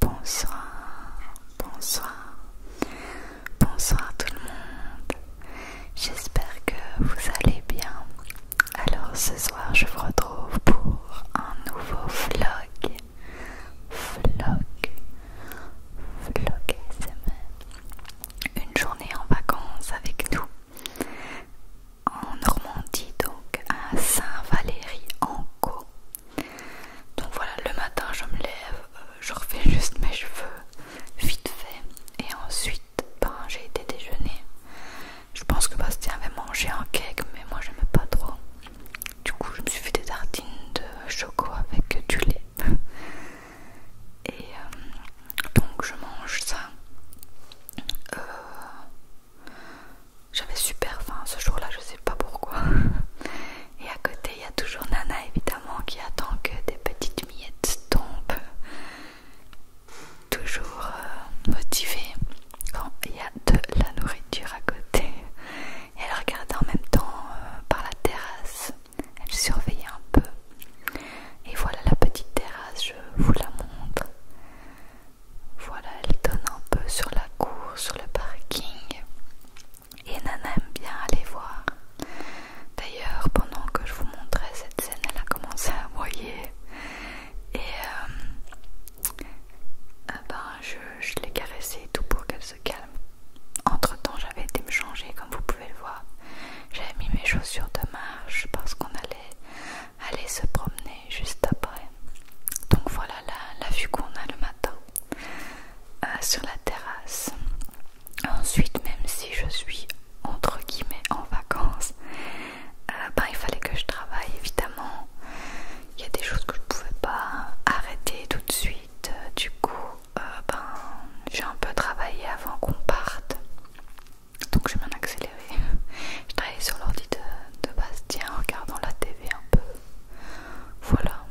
Bonsoir, bonsoir, bonsoir tout le monde. J'espère que vous allez bien. Alors ce soir, je vous retrouve pour un nouveau vlog. Vlog, vlog ASMR. Une journée en vacances avec nous en Normandie, donc à Saint-Valéry-en-Caux. Donc voilà, le matin je me lève, euh, je refais juste mes cheveux vite fait et ensuite ben, j'ai été déjeuner. Je pense que Bastien avait mangé un cake mais moi j'aimais pas trop. Du coup je me suis fait des tartines de choco avec du lait. Et euh, donc je mange ça. Euh, j'avais super faim ce jour-là, je sais pas pourquoi. Et à côté, il y a toujours Nana évidemment qui attend que des petites miettes tombent. Toujours euh, motivée quand il y a de la nourriture à côté. elle regardait en même temps euh, par la terrasse. Elle surveillait un peu. Et voilà la petite terrasse, je vous la montre. Voilà, elle donne un peu sur la cour, sur le parking. Et Nana aime bien aller voir. D'ailleurs, pendant que je vous montrais cette scène, elle a commencé à voyer Et euh, ah ben, je, l'ai caressée tout pour qu'elle se calme. Entre temps, j'avais été me changer, comme vous pouvez le voir. J'avais mis mes chaussures de marche parce qu'on allait aller se promener juste après. Donc voilà la, vue qu'on a le matin euh, sur la terrasse. Ensuite, même si je suis entre guillemets en vacances, euh, ben, il fallait que je travaille évidemment. Il y a des choses que je pouvais pas arrêter tout de suite. Euh, du coup, ben, j'ai un peu travaillé avant qu'on parte. Donc je m'en accéléré. Je travaillais sur l'ordi de Bastien en regardant la TV un peu. Voilà.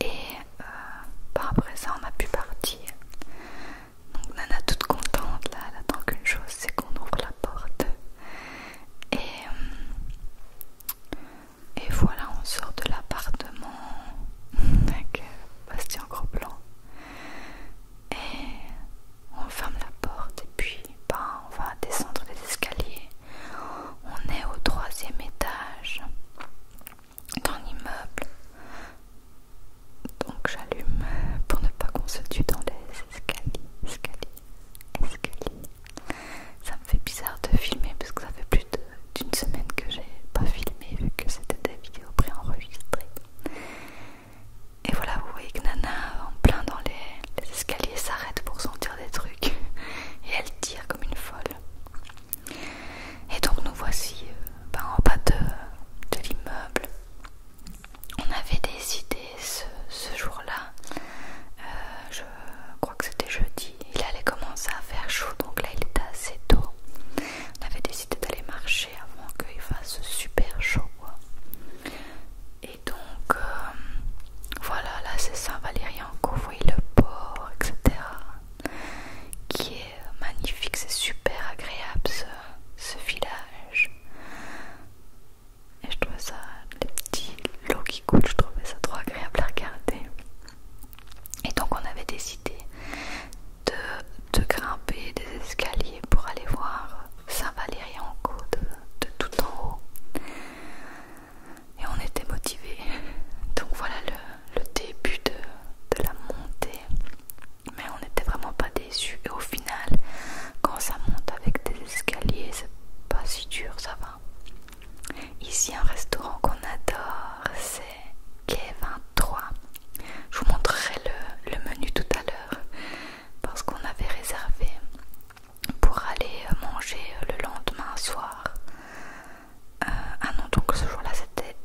Et euh, par présent ça, on a pu partir. Donc Nana toute contente, là, elle attend qu'une chose, c'est qu'on ouvre la porte. Et, euh, et voilà, on sort de l'appartement avec euh, Bastien Gros Blanc. Et on ferme la porte et puis ben, on va descendre les escaliers. On est au troisième étage dans immeuble Donc j'allume pour ne pas qu'on se tue dans les escaliers. Escaliers, escaliers. Ça me fait bizarre de filmer parce que ça fait plus d'une semaine que j'ai pas filmé vu que c'était des vidéos préenregistrées. Et voilà, vous voyez que Nana en plein dans les, les escaliers, ça pour sentir des trucs et elle tire comme une folle. Et donc nous voici euh, ben, en bas de, l'immeuble. On avait décidé ce, jour-là, euh, je crois que c'était jeudi, il allait commencer à faire chaud, donc là il était assez tôt. On avait décidé d'aller marcher avant qu'il fasse super chaud. Et donc, euh, voilà, là c'est Saint-Valérien vous le port, etc. Qui est magnifique, c'est super agréable ce, village. Et je trouvais ça, les petits lots qui coûtent, je trouvais ça trop agréable à regarder. Et donc on avait décidé de, grimper des escaliers pour aller voir Saint-Valérien en côte de tout en haut et on était motivés. Donc voilà le, début de, la montée. Mais on n'était vraiment pas déçus. Et au final, quand ça monte avec des escaliers, c'est pas si dur, ça va. Ici, un restaurant qu'on adore, c'est Quai 23. Je vous montrerai le menu tout à l'heure parce qu'on avait réservé pour aller euh, manger euh, le lendemain soir. Euh, ah non, donc ce jour-là c'était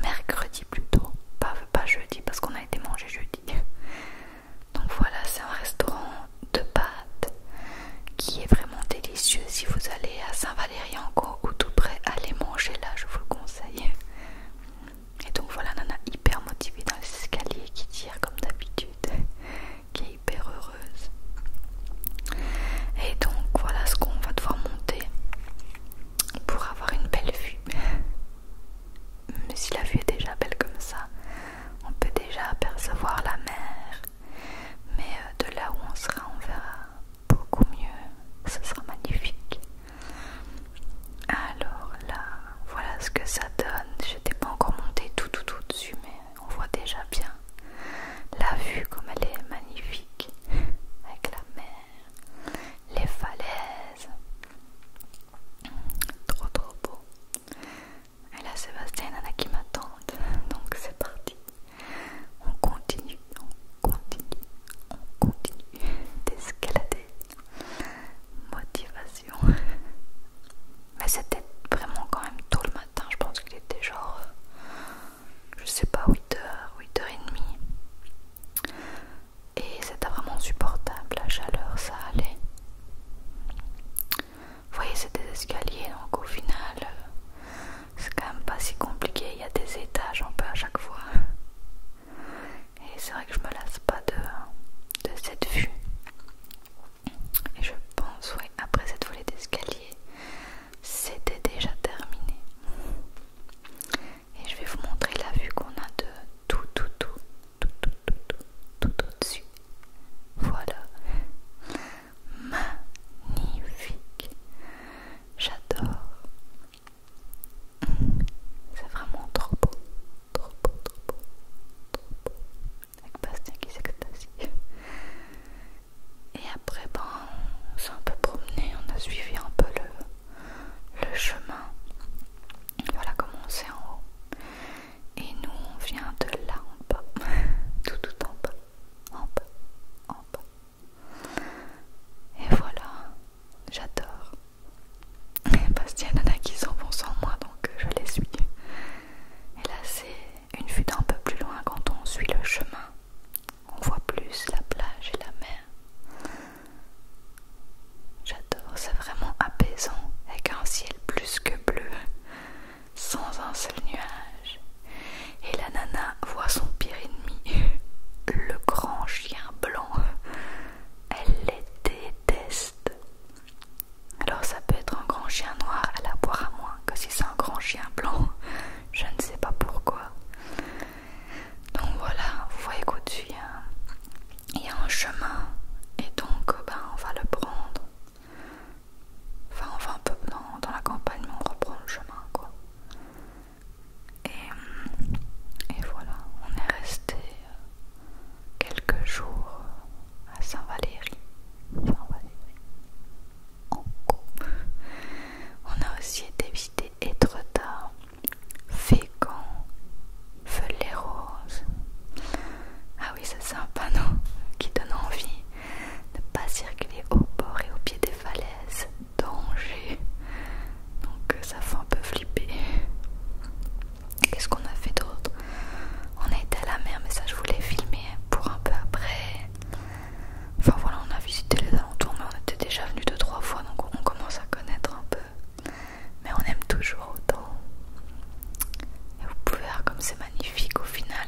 mercredi plutôt, pas, pas jeudi parce qu'on a été manger jeudi. Donc voilà, c'est un restaurant de pâtes qui est vraiment délicieux. Si vous allez à saint valérien en ou tout près, allez manger là, je vous le conseille. Et donc voilà, Nana hyper motivée dans les escaliers qui dit comme d'habitude, qui est hyper heureuse. Et donc voilà ce qu'on va devoir monter pour avoir une belle vue. Mais si la vue est déjà belle comme ça, on peut déjà apercevoir la mer. Mais euh, de là où on sera, on verra beaucoup mieux. Ce sera magnifique. Alors là, voilà ce que ça donne. Je n'étais pas encore montée tout tout tout dessus, mais on voit déjà bien la vue comme elle est magnifique avec la mer, les falaises. Trop trop beau. Et là, Sébastien en a qui m'attendent, donc c'est parti. On continue, on continue, on continue d'escalader motivation. Mais c'était vraiment quand même tôt le matin, je pense qu'il était genre, euh, je sais pas, 8h, 8h30. Et c'était vraiment supportable, la chaleur, ça allait. Vous voyez, c'est des escaliers, donc au final, euh, c'est quand même pas si compliqué. Il y a des étages un peu à chaque fois. Et c'est vrai que je me lasse pas de cette vue. Et je pense, oui, après cette volée d'escalier, c'était déjà terminé. Et je vais vous montrer la vue qu'on a de tout, tout, tout, tout, tout, tout, tout, tout au-dessus. Voilà. Magnifique. J'adore. C'est vraiment trop beau trop beau, trop beau, trop beau. Avec Bastien qui s'extasie. Et après, ben, on s'est un peu promené, on a suivi un peu le, chemin. Voilà comment on s'est en haut. Et nous, on vient de là en bas. Tout, tout en bas. En bas, en bas. Et voilà, j'adore parce qu'il y a qui s'enfonce en moi donc euh, je les suis. Et là c'est une vue d'un peu plus loin quand on suit le chemin. On voit plus la plage et la mer. J'adore, c'est vraiment apaisant avec un ciel plus que bleu, sans un seul nuage. Et la nana voit son pire ennemi, le grand chien blanc. Elle les déteste. Alors ça peut être un grand chien noir à la boire à moi, que si c'est un grand chien blanc. Je ne sais pas pourquoi. Donc voilà, vous voyez qu'au-dessus il y, a un chemin et donc ben, on va le prendre. Enfin on va un peu dans, dans la campagne mais on reprend le chemin quoi. Et, et voilà, on est resté euh, quelques jours à Saint-Valéry. Saint-Valéry. On a aussi été visiter Étretat, Fécamp, Feu-les-Roses. Ah oui, ça c'est un panneau qui donne envie de ne pas circuler au bord et au pied des falaises. Danger. Donc euh, ça fait un peu flipper. Qu'est-ce qu'on a fait d'autre On a été à la mer, mais ça je voulais filmer pour un peu après. Enfin voilà, on a visité les alentours, mais on était déjà venu deux trois fois, donc on commence à connaître un peu. Mais on aime toujours autant. Et vous pouvez voir comme c'est magnifique au final.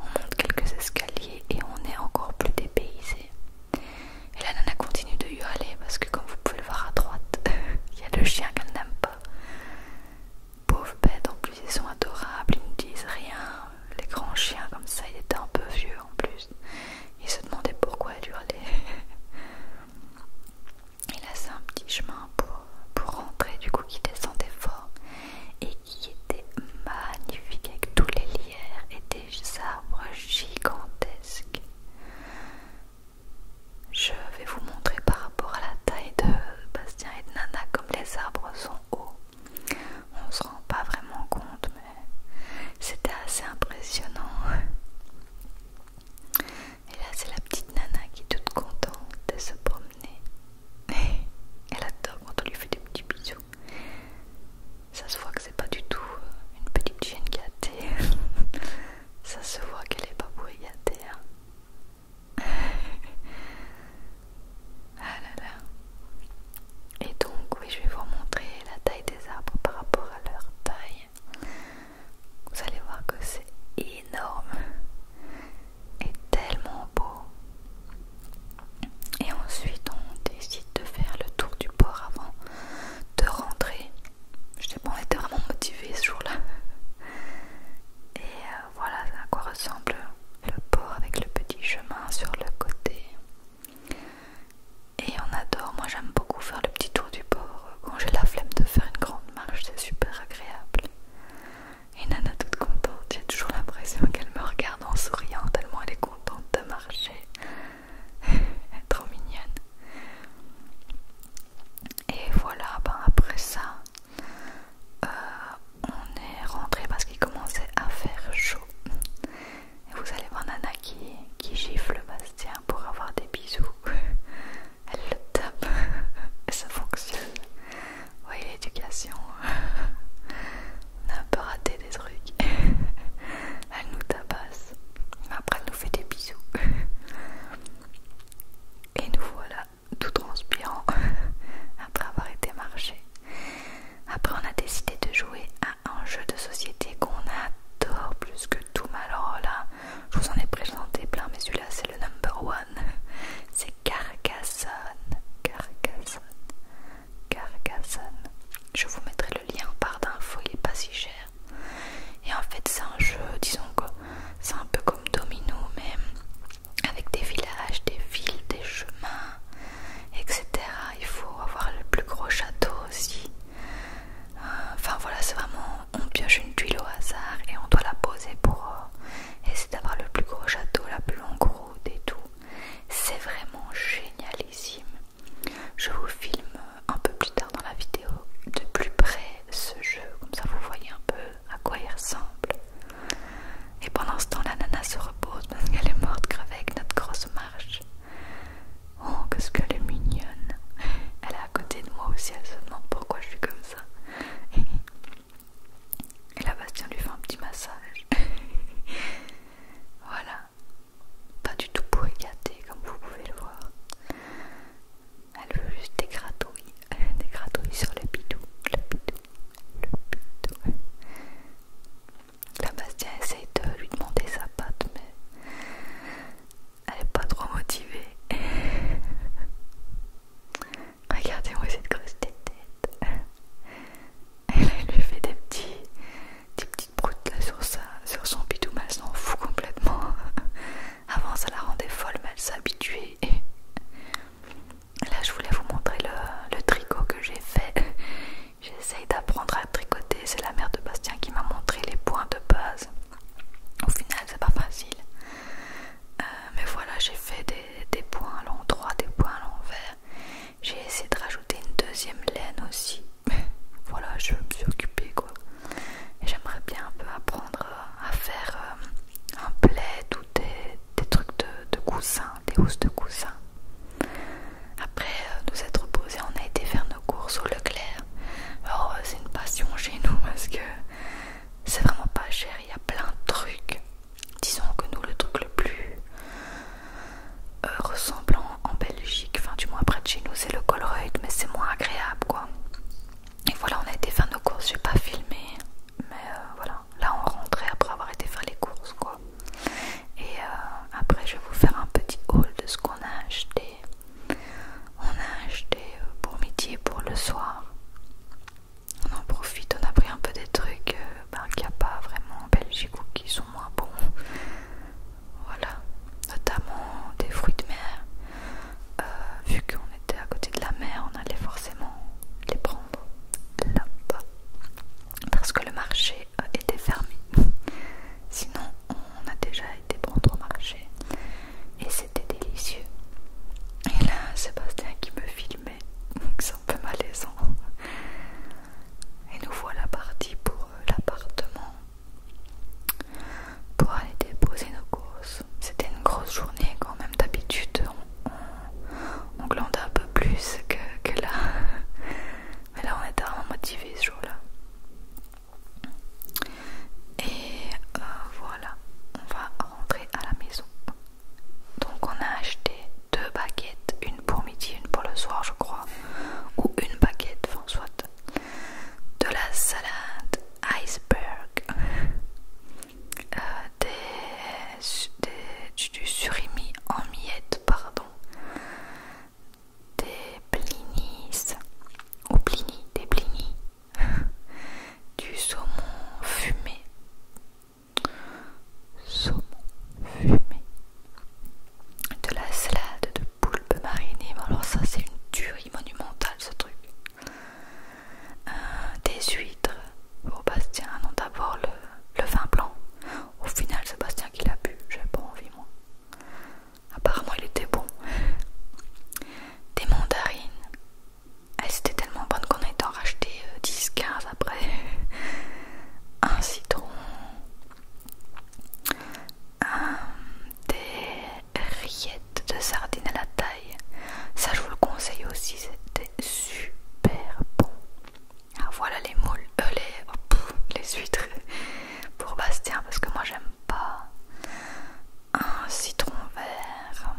On monte quelques escaliers et on est encore plus dépaysé. Et la nana continue de hurler parce que comme vous pouvez le voir à droite, il y a le chien qu'elle n'aime pas. Pauvres bêtes, en plus, ils sont adorables, ils ne disent rien. Les grands chiens, comme ça, ils étaient un peu vieux en plus. Il se demandaient pourquoi elle hurlait. Il a c'est un petit chemin pour, pour rentrer, du coup, qui descendait fort et qui était magnifique avec tous les lierres et des arbres gigantesques. Je vais vous montrer par rapport à la taille de Bastien et de Nana, comme les arbres sont hauts. On se rend pas vraiment compte, mais c'était assez impressionnant. Et là, c'est la petite Nana qui est toute contente de se promener. Elle adore quand on lui fait des petits bisous. Ça se voit que c'est pas du tout une petite chienne gâtée. Ça se voit qu'elle est pas bruyataire. ah là Et donc, oui, je vais vous montrer la taille des arbres par rapport à leur taille. Vous allez voir que c'est énorme et tellement beau. Et ensuite, on décide de faire le tour du port avant de rentrer je on était vraiment motivés ce jour-là. Et euh, voilà à quoi ressemble le port avec le petit chemin sur le côté. Et on adore, moi j'aime beaucoup faire le petit tour du port quand j'ai la flemme de faire une grande marche, c'est super agréable. Et Nana toute contente, j'ai toujours l'impression qu'elle me regarde en souriant tellement elle est contente de marcher. elle est trop mignonne. Et voilà, ben, après ça, euh, on est rentré parce qu'il commençait à faire chaud. Et vous allez voir Nana qui, qui gifle Bastien pour avoir des bisous. Elle le tape et ça fonctionne. Vous voyez l'éducation. On a un peu raté des trucs. Elle nous tabasse. après elle nous fait des bisous. Et nous voilà tout transpirant après avoir été marché. Après on a décidé de jouer à un jeu de société qu'on adore plus que tout alors là je vous en ai présenté plein mais celui-là c'est le number one. C'est Carcassonne. Carcassonne. Carcassonne. Je vous mettrai le lien par d'info, il est pas si cher. Et en fait, c'est un jeu, disons que c'est un peu comme Domino, mais avec des villages, des villes, des chemins, etc. Il faut avoir le plus gros château aussi. Euh, enfin voilà, c'est vraiment on pioche une tuile au hasard et on doit la poser pour euh, essayer d'avoir le plus gros château, la plus longue route et tout. C'est vraiment génialissime. Je vous filme un peu plus tard dans la vidéo de plus près ce jeu, comme ça vous voyez un peu à quoi il ressemble. Et pendant ce temps, la nana se repose parce qu'elle est morte grave avec notre grosse marche. Oh, qu'est-ce qu'elle est mignonne! Elle est à côté de moi aussi, elle se demande pourquoi je suis comme ça. Et la Bastien lui fait un petit massage. voilà, pas du tout pour gâté comme vous pouvez le voir. Elle veut juste des gratouilles, des gratouilles sur le bidou, le bidou, le bidou. La Bastien essaie de lui demander sa patte, mais elle est pas trop motivée. Regardez-moi cette grosse tête. Elle, lui fait des petits, des petites broutes là sur, sur son bidou, mais elle s'en fout complètement. Avant ça la rendait folle mais elle s'habituait et... Là je voulais vous montrer le, tricot que j'ai fait. J'essaye d'apprendre à tricoter. C'est la mère de Bastien qui m'a montré les points de base. Au final c'est pas facile. Euh, mais voilà j'ai fait des, des points à l'endroit, des points à l'envers. J'ai essayé de rajouter une deuxième laine aussi. voilà je me suis occupée quoi j'aimerais bien un peu apprendre à faire euh, un plaid ou des, des trucs de, coussins, des housses de coussin. Après euh, nous être reposés, on a été faire nos courses au Leclerc. Oh c'est une passion chez nous parce que c'est vraiment pas cher, il y a plein de trucs. Disons que nous le truc le plus ressemblant en Belgique, enfin du moins près de chez nous, c'est le Colruyt, mais c'est moins agréable quoi. Et voilà, on a été faire nos courses, j'ai pas filmé, mais euh, voilà, là on rentrait après avoir été faire les courses quoi. Et euh, après je vais vous faire un petit haul de ce qu'on a acheté. On a acheté euh, pour midi et pour le soir. On en profite, on a pris un peu des trucs ben, qu'il n'y a pas vraiment en Belgique qui sont moins bons. Voilà, notamment des fruits de mer. Euh, vu qu'on était à côté de la mer, on allait forcément les prendre là-bas parce que le marché euh, était fermé. Sinon, on a déjà été prendre au marché et c'était délicieux. Et là, Sébastien qui me filmait, c'est un peu malaisant. Et nous voilà partis pour euh, l'appartement pour aller déposer nos courses. C'était une grosse journée quand même. D'habitude, on, glande un peu plus que, là. Mais là, on était vraiment motivé ce jour-là. Et euh, voilà, on va rentrer à la maison. Donc, on a acheté deux baguettes, une pour midi, une pour le soir, je crois, ou une baguette, enfin, soit de la salade iceberg, euh, des, du surimi en miettes, pardon, des blinis, ou blini, des blinis, du saumon fumé, saumon fumé, de la salade de poulpe marinée, alors ça c'est une tuerie monumental ce truc. Euh, des huîtres. pour Bastien, non, d'abord le, vin blanc. Au final, c'est Bastien qui l'a bu. J'ai pas envie, moi. Apparemment, il était bon. Des mandarines. Elles ah, étaient tellement bonnes qu'on a été en racheté 10-15 euh, après. Un citron. Un, euh, des rillettes de sardines à la taille. Ça, je vous le conseille aussi, c'était super bon. voilà les moules, euh, les, oh, les huîtres pour Bastien, parce que moi j'aime pas un citron vert.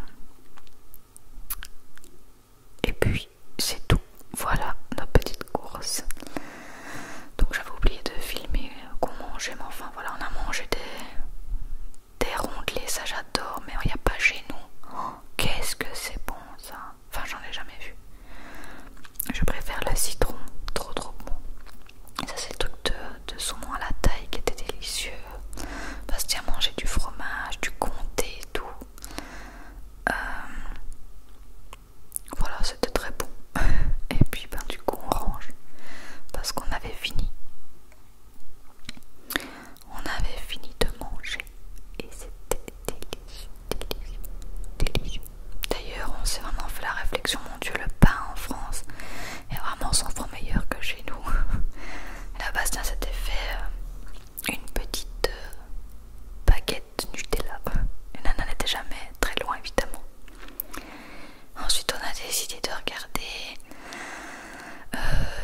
Et puis c'est tout. Voilà nos petites courses donc j'avais oublié de filmer euh, qu'on mangeait mais enfin voilà on a mangé des, des rondelets ça j'adore mais il n'y a pas chez nous oh, qu'est-ce que c'est bon ça enfin j'en ai jamais vu je préfère le citron trop trop bon ça c'est le truc de, saumon à la taille qui était délicieux parce qu'il y a mangé du fromage du comté et tout euh, voilà c'était très bon et puis ben du coup on range parce qu'on avait fini. On avait fini de manger et c'était délicieux, délicieux, délicieux. D'ailleurs, on s'est vraiment fait la réflexion, mon Dieu, le pain en France est vraiment sans meilleur que chez nous. La Bastien s'était fait euh, une petite euh, baguette Nutella. Et euh, Nana n'était jamais très loin, évidemment. Ensuite, on a décidé de regarder euh,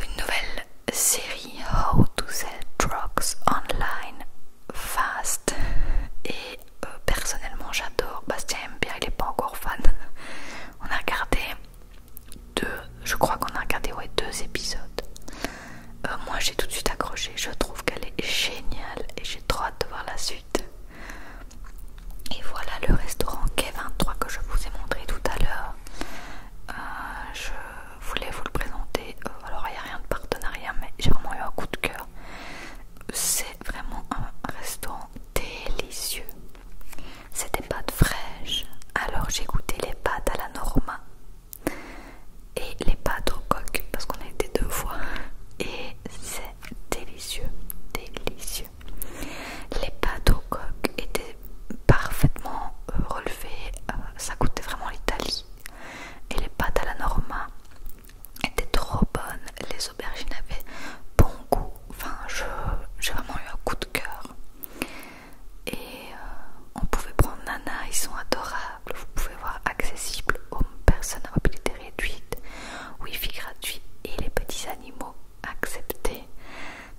une nouvelle série How to Sell Drugs Online Fast. Et euh, personnellement, j'adore. Bastien aime bien, il n'est pas encore fan. On a regardé deux, je crois qu'on a regardé deux épisodes. Euh, moi, j'ai tout de suite accroché. Je trouve qu'elle est géniale et j'ai trop hâte de voir la suite. Et voilà le restaurant K23 que je vous ai montré tout à l'heure. Euh, je voulais vous le présenter. Euh, alors il n'y a rien de partenariat, mais j'ai vraiment eu un coup de cœur. C'est vraiment un restaurant délicieux. C'est des pâtes fraîches. Alors j'ai goûté les pâtes à la Norma et les pâtes au coq parce qu'on a été deux fois. Et c'est délicieux, délicieux. Les pâtes au coq étaient parfaitement euh, relevées, euh, ça coûtait vraiment l'Italie. Et les pâtes à la Norma étaient trop bonnes, les aubergines avaient bon goût. Enfin, j'ai vraiment eu un coup de cœur. Et euh, on pouvait prendre Nana, ils sont adorables. Vous pouvez voir accessible aux personnes à mobilité réduite wifi gratuit et les petits animaux acceptés.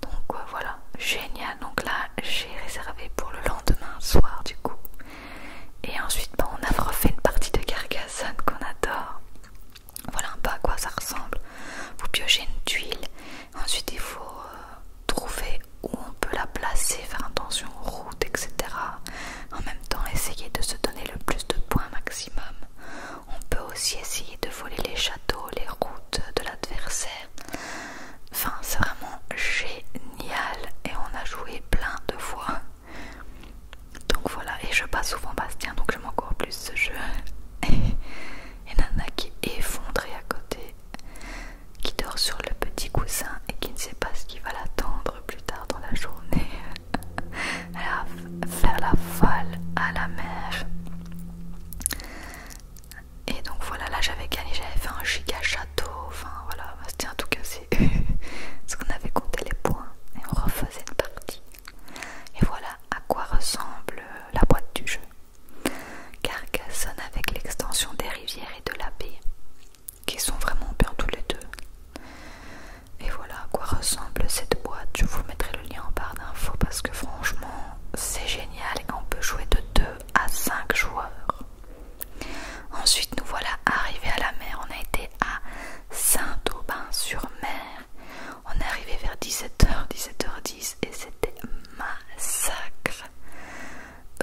Donc euh, voilà, génial. Donc là, j'ai réservé pour le lendemain soir du coup. Et ensuite, ben, on a refait une partie de Carcassonne qu'on adore. Voilà un peu à quoi ça ressemble. Vous piochez une tuile, ensuite il faut euh, trouver où on peut la placer, faire attention aux routes, etc. En même temps, essayer de se donner le plus de points maximum. On peut aussi essayer de voler les châteaux, les routes de l'adversaire. Enfin, c'est vraiment génial et on a joué plein de fois. Donc voilà, et je passe souvent Bastien, donc j'aime encore plus ce jeu. et Nana qui est effondrée à côté, qui dort sur le petit coussin et qui ne sait pas ce qui va l'attendre plus tard dans la journée. Alors, faire la folle à la mer. Et donc voilà, là j'avais gagné, j'avais fait un giga château, enfin voilà, bah, c'était en tout c'est ce qu'on avait compté les points et on refaisait une partie. Et voilà à quoi ressemble euh, la boîte du jeu. Carcassonne avec l'extension des rivières et de la baie, qui sont vraiment bien tous les deux. Et voilà à quoi ressemble cette boîte. Je vous mettrai le lien en barre d'infos parce que franchement, c'est génial et qu'on peut jouer de 2 à 5 joueurs. Ensuite, nous voilà arrivés à la mer. On a été à Saint-Aubin-sur-Mer. On est arrivé vers 17h, 17h10 et c'était massacre.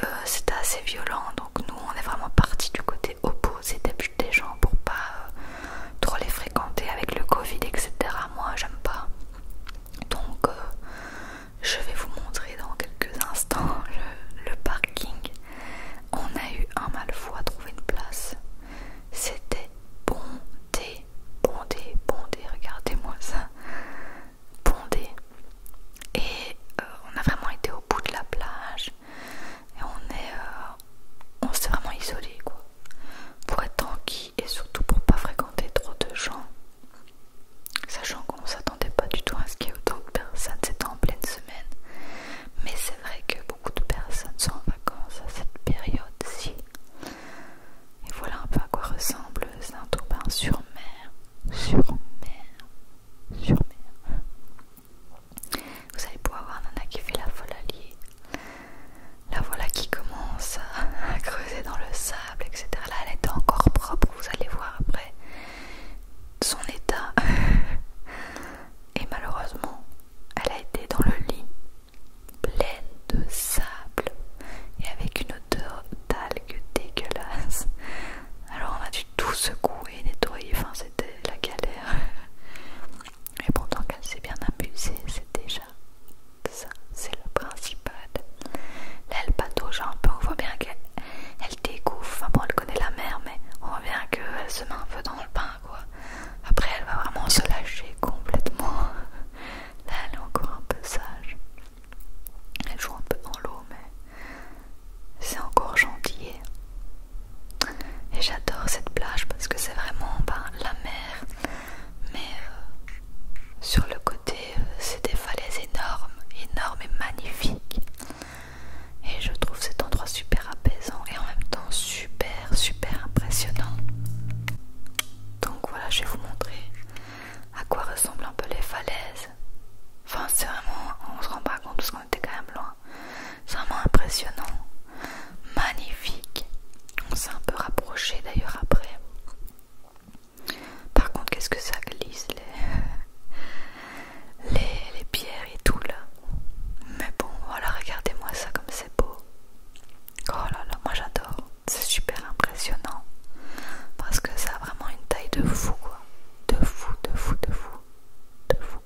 Euh, c'était assez violent donc nous on est vraiment parti du côté Opposé des gens pour pas euh, trop les fréquenter avec le Covid, etc. Moi, j'aime pas. Donc, euh, je vais vous montrer dans quelques instants le, parking. On a eu un mal fou à trouver une place. C'était bondé, bondé, bondé. Regardez-moi ça. Bondé. Et euh, on a vraiment été au bout de la plage et on est euh, on s'est vraiment isolé quoi pour être tranquille et surtout pour pas fréquenter trop de gens sachant qu'on s'attendait pas du tout à ce qu'il y ait autant de personnes c'était en pleine semaine mais c'est vrai que beaucoup de personnes sont en vacances à cette période-ci et voilà un peu à quoi ressemble Saint-Aubin sur mer sur mer sur mer vous allez pouvoir voir Nana qui fait la folle alliée. La voilà qui commence à creuser dans le sable, etc. Là, elle était encore propre, vous allez voir après son état. Et malheureusement, elle a été dans le lit, pleine de sable et avec une odeur d'algues dégueulasse. Alors on a dû tout secouer, nettoyer, enfin c'était la galère. Et pourtant qu'elle s'est bien amusée, c'est déjà ça, c'est le principal. Là, elle patauge un peu, on voit bien qu'elle elle découvre, enfin bon, elle connaît la mer, mais on voit bien qu'elle se met un peu dans le bain, quoi. Après, elle va vraiment se lâcher complètement. Là, elle est encore un peu sage. Elle joue un peu dans l'eau, mais c'est encore gentil. Et j'adore cette plage parce que c'est vraiment ben, la mer, mais euh, sur le côté, euh, c'est des falaises énormes, énormes et magnifiques. Et je trouve cet endroit super apaisant et en même temps super, super impressionnant. Donc voilà, je vais vous montrer à quoi ressemblent un peu les falaises. Enfin, c'est vraiment, on se rend pas compte on quand même loin. C'est vraiment impressionnant. Magnifique. On s'est un peu rapproché d'ailleurs après. Par contre, qu'est-ce que ça glisse les... les, pierres et tout là. Mais bon, voilà, regardez-moi ça comme c'est beau. Oh là là, moi j'adore. C'est super impressionnant. Parce que ça a vraiment une taille de fou quoi. De fou, de fou, de fou de fou.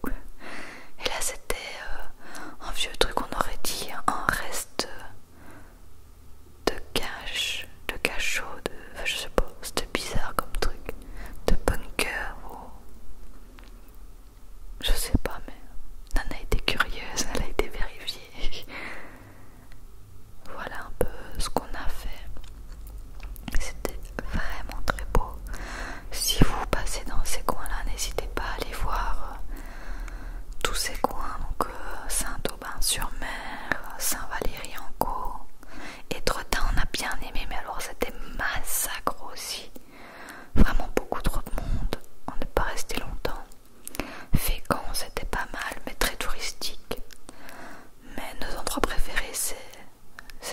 Et là, c'était euh, un vieux truc, on aurait dit un reste de cache, de cachot, de. je sais pas, c'était bizarre comme truc, de bunker ou. Je sais pas, mais Nana été curieuse, elle a été vérifiée. voilà un peu ce qu'on a fait. C'était vraiment très beau si vous passez dans ces coins-là, n'hésitez pas à aller voir euh, tous ces coins, donc euh, Saint-Aubin-sur-Mer, Saint-Valéry-en-Caux, Étretat, on a bien aimé, mais alors c'était massacre aussi, vraiment beaucoup trop de monde, on n'est pas resté longtemps. Fécamp, c'était pas mal, mais très touristique. Mais nos endroits préférés, c'est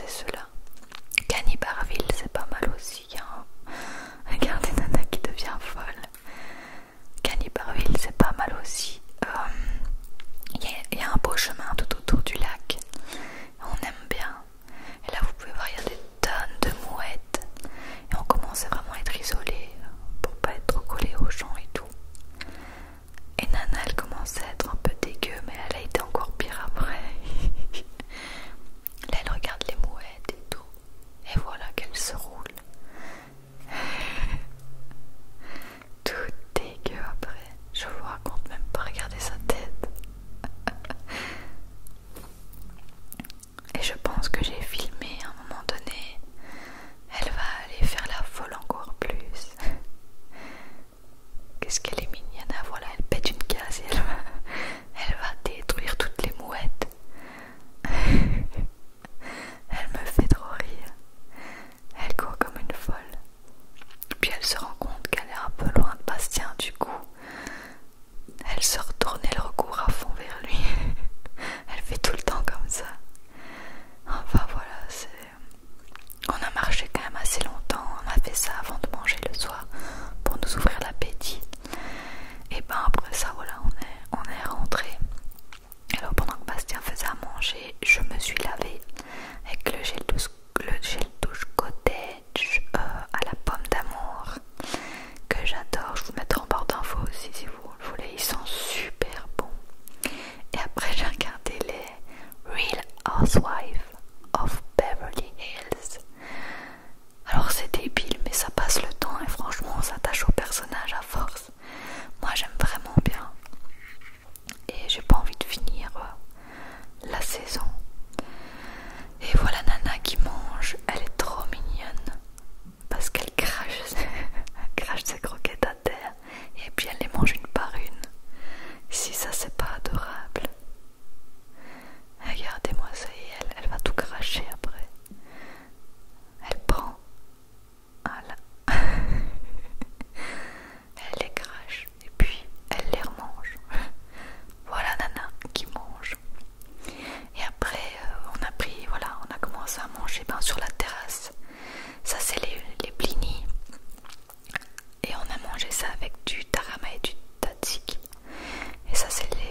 ceux-là. Canibarville c'est pas mal aussi. Hein. Regardez Nana qui devient folle. Canibarville c'est pas mal aussi. Euh, il y, a un beau chemin tout autour du lac. On aime bien. Et là, vous pouvez voir, il y a des tonnes de mouettes. Et on commence à être isolé pour pas être trop collé aux gens et tout. Et Nana, elle commençait à être un peu dégueu, mais elle a été encore pire après. Là, elle regarde les mouettes et tout. Et voilà qu'elle se roule. tout que après. Je vous raconte même pas. regarder sa tête. et je pense que j'ai filmé à un moment donné. Elle va aller faire la folle encore plus. Qu'est-ce qu'elle est mignonne, ah, voilà, elle pète une case et elle va, elle va détruire toutes les mouettes. elle me fait trop rire. Elle court comme une folle. Puis elle se rend compte qu'elle est un peu loin de Bastien du coup. Elle se retourne et le recourt à fond vers lui. elle fait tout le temps comme ça. Enfin voilà, On a marché quand même assez longtemps, on a fait ça avant de manger le soir pour nous ouvrir l'appétit. Et ben après ça, voilà, on est, on est rentré. Alors pendant que Bastien faisait à manger, je me suis lavée avec le gel douche, le gel cottage euh, à la pomme d'amour que j'adore. Je vous mettrai en barre d'infos aussi si vous voulez. Ils sont super bons. Et après j'ai regardé les Real Housewives of Beverly Hills. Alors c'est débile, mais ça passe le temps et franchement on s'attache au personnage à force. Moi j'aime vraiment bien. Et j'ai pas envie de finir euh, la saison. Et voilà Nana qui mange, elle est trop mignonne. Parce qu'elle crache, crache ses croquettes à terre et puis elle les mange une par une. Si ça c'est pas adorable. Regardez-moi ça elle, elle va tout cracher après. Elle prend. elle les crache et puis elle les remange. voilà Nana qui mange. Et après euh, on a pris, voilà, on a commencé à manger ben, sur la terrasse. Ça c'est les, les blinis. Et on a mangé ça avec du tarama et du tzatziki. Et ça c'est les,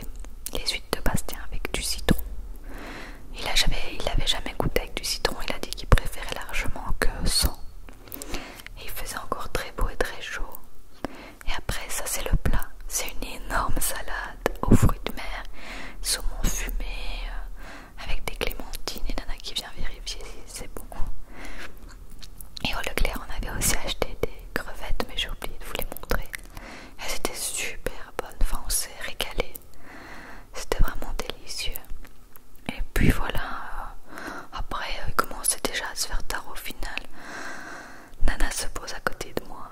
huîtres de Bastien avec du citron. Il l'avait jamais, goûté avec du citron, il a dit qu'il préférait largement que sans. Et il faisait encore très beau et très chaud. Et après ça c'est le plat, c'est une énorme salade aux fruits de mer, saumon fumé, euh, avec des clémentines et nana qui vient vérifier si c'est bon. Et au Leclerc, on avait aussi acheté des crevettes, mais j'ai oublié de vous les montrer. Elles étaient super bonnes, enfin on s'est régalé. C'était vraiment délicieux. Et puis voilà, euh, après euh, il commençait déjà à se faire tard au final. Nana se pose à côté de moi.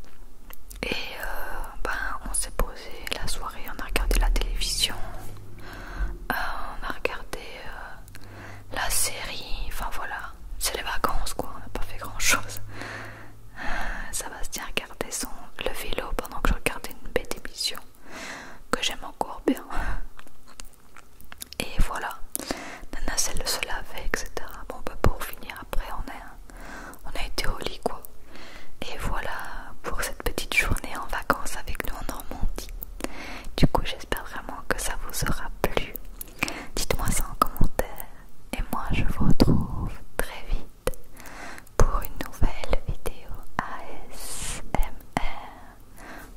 Et euh, ben, on s'est posé la soirée, on a regardé la télévision, on a regardé la série, enfin voilà, c'est les vacances quoi, on n'a pas fait grand chose. Euh, Sébastien regardait son, le vélo pendant que je regardais une bête émission que j'aime encore bien. Et voilà, Nana celle se lavait, etc. Bon, bah pour finir, après on a, hein, on a été au lit quoi. Et voilà pour cette petite journée en vacances avec nous en Normandie. Du coup, j'espère vraiment que ça vous aura plu. Dites-moi ça en commentaire. Et moi, je vous retrouve très vite pour une nouvelle vidéo ASMR.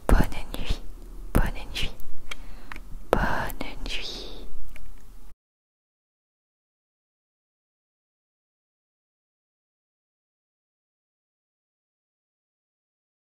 Bonne nuit, bonne nuit, bonne nuit.